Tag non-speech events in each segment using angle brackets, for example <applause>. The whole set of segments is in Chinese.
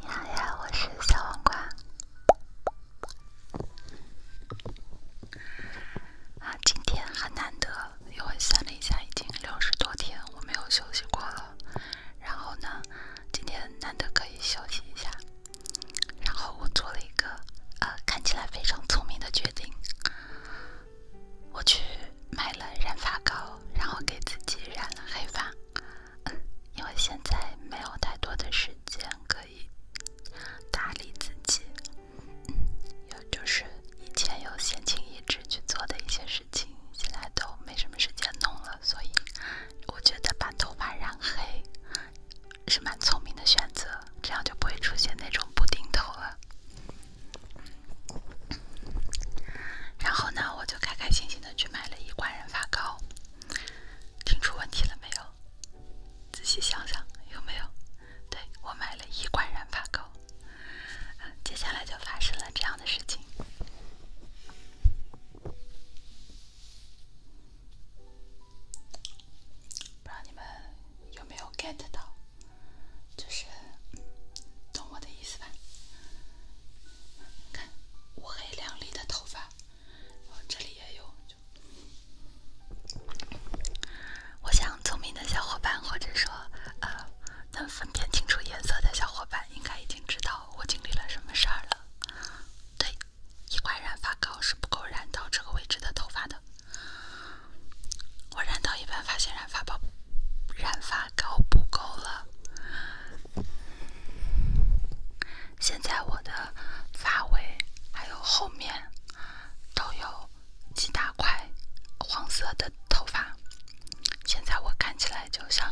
你好呀，我是小黄瓜。今天很难得，因为算了一下，已经六十多天我没有休息过了。然后呢，今天难得可以休息一下。然后我做了一个呃，看起来非常聪明的决定。我去买了染发膏，然后给自己染了黑发。因为现在没有太多的时间可以打理自己，有就是以前有闲情逸致去做的一些事情，现在都没什么时间弄了。所以我觉得把头发染黑是蛮聪明的选择，这样就不会出现那种不定头了。然后呢，我就开开心心的去买了一罐染发膏。听出问题了没有？仔细想想，有没有？对我买了一罐染发膏，接下来就发生了这样的事情。不知道你们有没有 get 到，就是懂我的意思吧？看乌黑亮丽的头发，然后这里也有。我想聪明的小伙伴或者说呃能分辨清楚颜色的小伙伴，应该已经知道我经历了什么事儿了。对，一块染发膏是不够染到这个位置的头发的。我染到一半，发现染发宝、染发膏不够了。现在我的发尾还有后面都有几大块黄色的头发。现在我看起来就像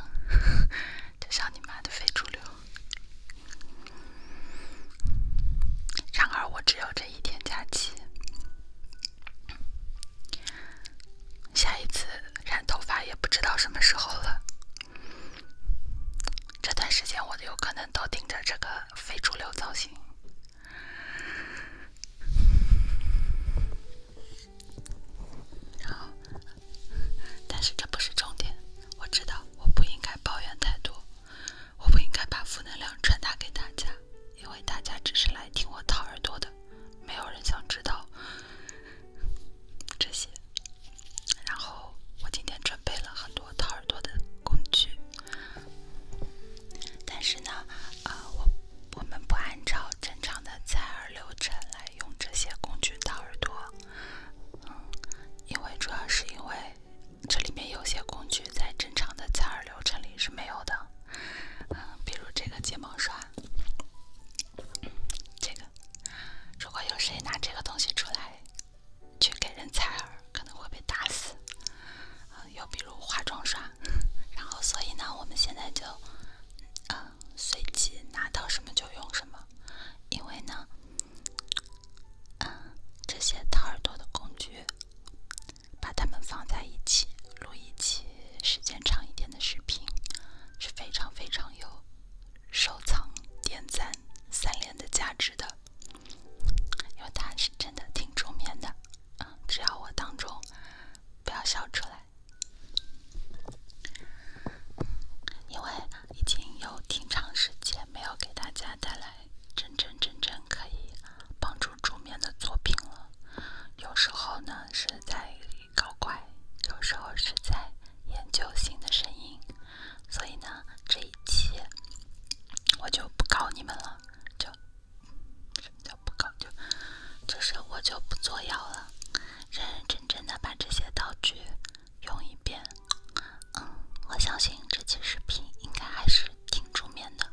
<laughs> 就像你妈的非主流。然而我只有这一天假期。下一次染头发也不知道什么时候了，这段时间我有可能都盯着这个非主流造型。然后，但是这不是重点，我知道我不应该抱怨太多。我不应该把负能量传达给大家，因为大家只是来听我掏耳朵的，没有人想知道这些。然后我今天准备了很多掏耳朵的工具，但是呢，呃，我我们不按照正常的采耳流程来用这些工具掏耳朵，嗯，因为主要是因为这里面有些工具在正常的采耳流程里是没有的。比如这个睫毛刷，这个如果有谁拿这个东西出来去给人采耳，可能会被打死。又比如化妆刷，然后所以呢，我们现在就嗯，随机拿到什么就用什么，因为呢，嗯，这些掏耳朵的工具。把它们放在一起录一期时间长一点的视频，是非常非常有收藏、点赞、三连的价值的，因为它是真的挺助眠的。嗯，只要我当众不要笑出来，因为已经有挺长时间没有给大家带来。真真正正可以帮助助眠的作品了。有时候呢是在搞怪，有时候是在研究新的声音。所以呢，这一期我就不搞你们了，就什么就不搞，就就是我就不作妖了，认认真真的把这些道具用一遍。嗯，我相信这期视频应该还是挺助眠的。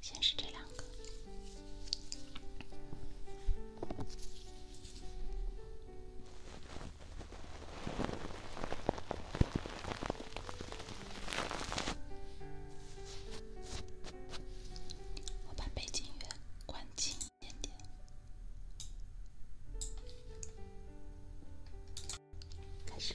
先是这两个，我把背景音乐关紧一点点，开始。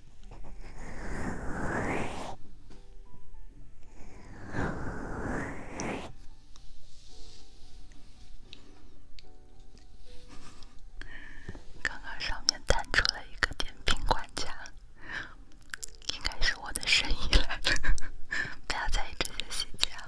刚刚上面弹出了一个点评管家，应该是我的声音来了。不要在意这些细节啊。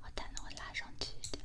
我弹的会拉上去一点。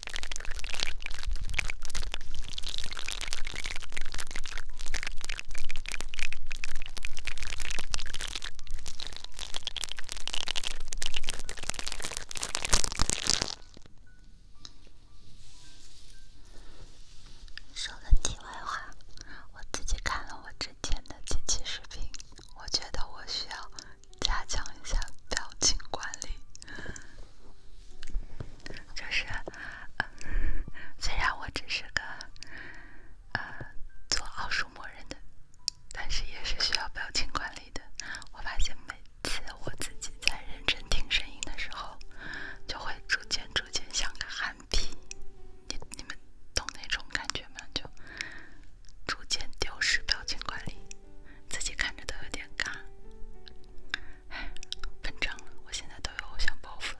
说个题外话，我自己看了我之前的几期视频，我觉得我需要。加强一下表情管理，就是，嗯，虽然我只是个呃做奥数默认的，但是也是需要表情管理的。我发现每次我自己在认真听声音的时候，就会逐渐逐渐像个憨批，你你们懂那种感觉吗？就逐渐丢失表情管理。自己看着都有点尬，唉，膨胀了，我现在都有偶像包袱了。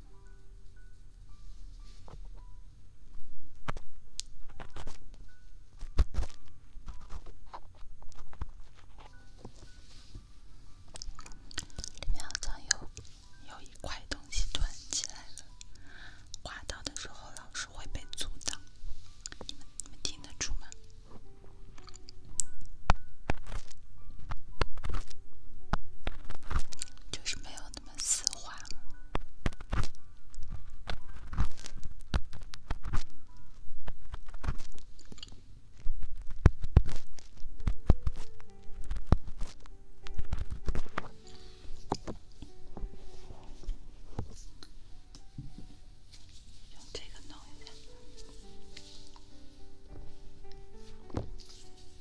里面好像有有一块东西团起来了，滑到的时候老是会被阻挡。你们你们听得出吗？就是没有那么丝滑，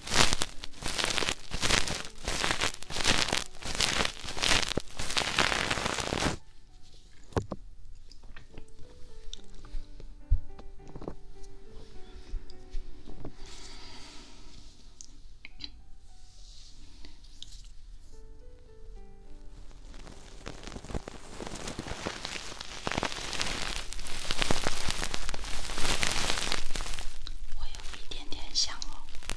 我有一点点想哦。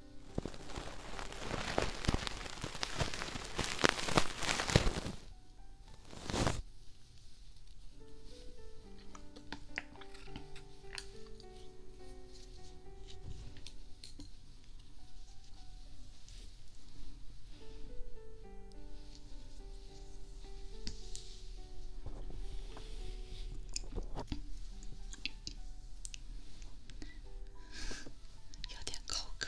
有点口渴。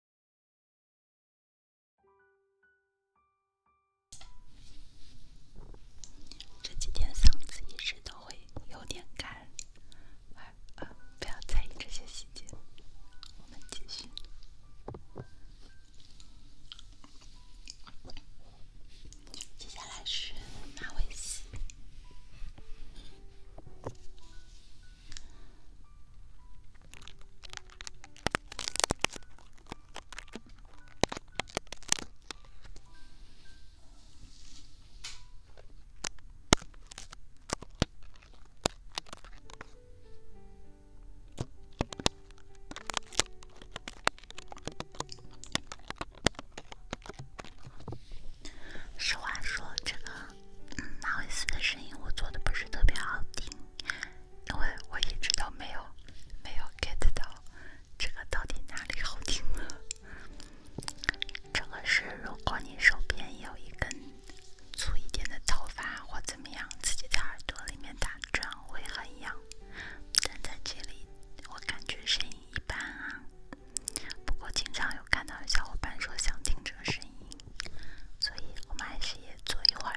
这几天嗓子一直都会有点干，二二，不要在意这些细节。我们继续，接下来是马尾丝。实话说，这个马尾丝的声音我做的不是特别好听。因为我一直都没有没有 get 到这个到底哪里好听啊！这个是如果你手边有一根粗一点的头发或怎么样，自己在耳朵里面打，这样会很痒。但在这里，我感觉声音一般啊。不过经常有看到小伙伴说想听这个声音，所以我们还是也。坐一会儿。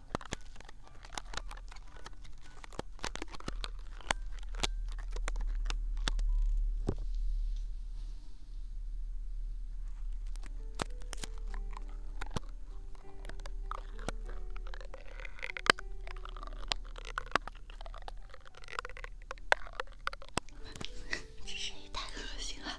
<laughs> 这声音太恶心了。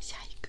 下一个。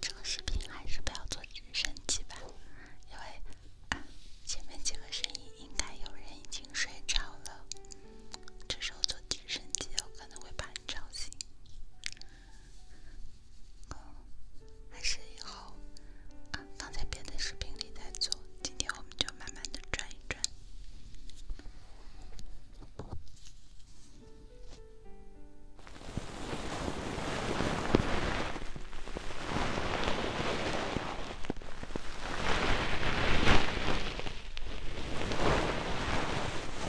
这个视频还是不要坐直升机吧，因为前面几个声音应该有人已经睡着了，这时候坐直升机有可能会把你吵醒。哦，还是以后啊放在别的视频里再做，今天我们就慢慢的转一转。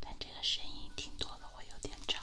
但这个声音听多了会有点吵。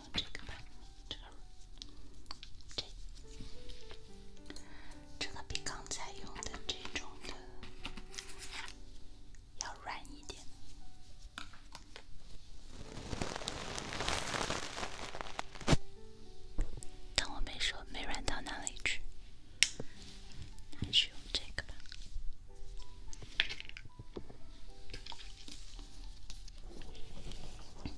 用这个吧，这个，这，这比刚才用的这种的要软一点。当我没说，没软到哪里去，还是用这个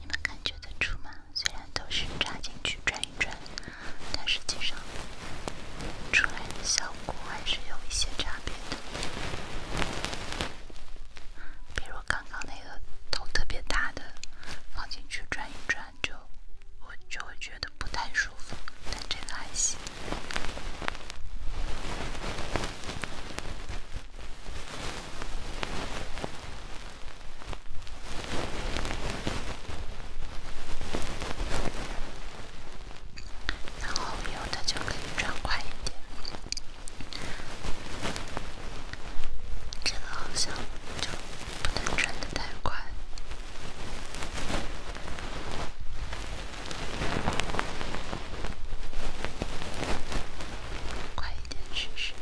你们感觉得出吗？虽然都是扎进去转一转，但实际上出来的效果还是有一些差别的。比如刚刚那个头特别大的，放进去转一转就我就会觉得不太舒服，但这个还行。然后有的就可以转快一点，真的好像就不能转的太快。快一点试试。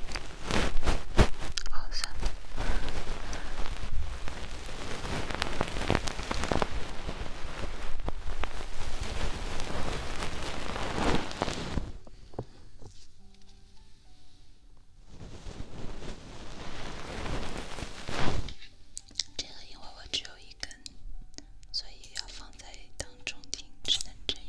这个，因为我只有一。根，所以要放在当中听，只能这样。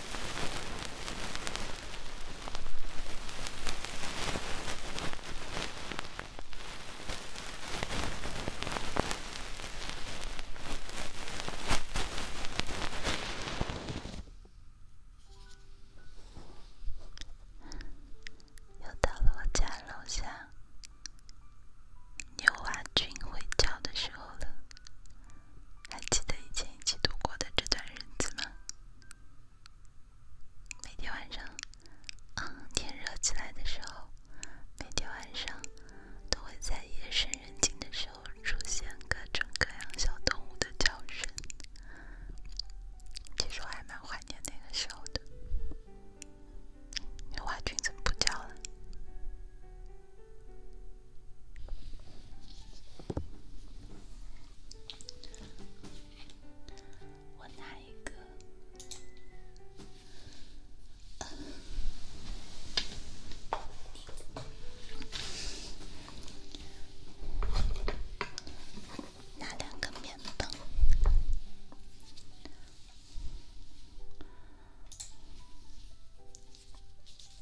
又到了我家楼下，牛娃君会叫的时候了。还记得以前一起度过的这段日子吗？每天晚上，嗯，天热起来的时候，每天晚上都会在夜深人静的时候出现各种各样小动物的叫声。其实我还蛮怀念那个时候的。牛蛙君怎么不叫了？我拿一个，拿两个棉棒。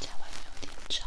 家外面有点吵。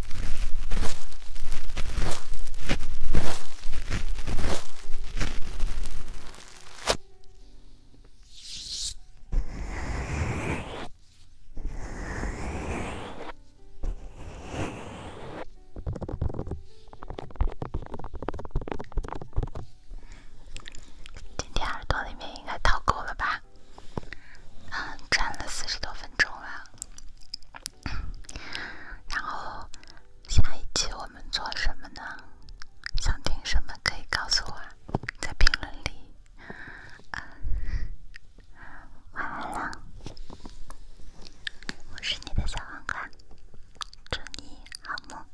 今天耳朵里面应该掏够了吧？啊，转了四十多分钟了。然后下一期我们做什么呢？想听什么可以告诉我，在评论里。晚安啦，我是你的小黄瓜，祝你好梦。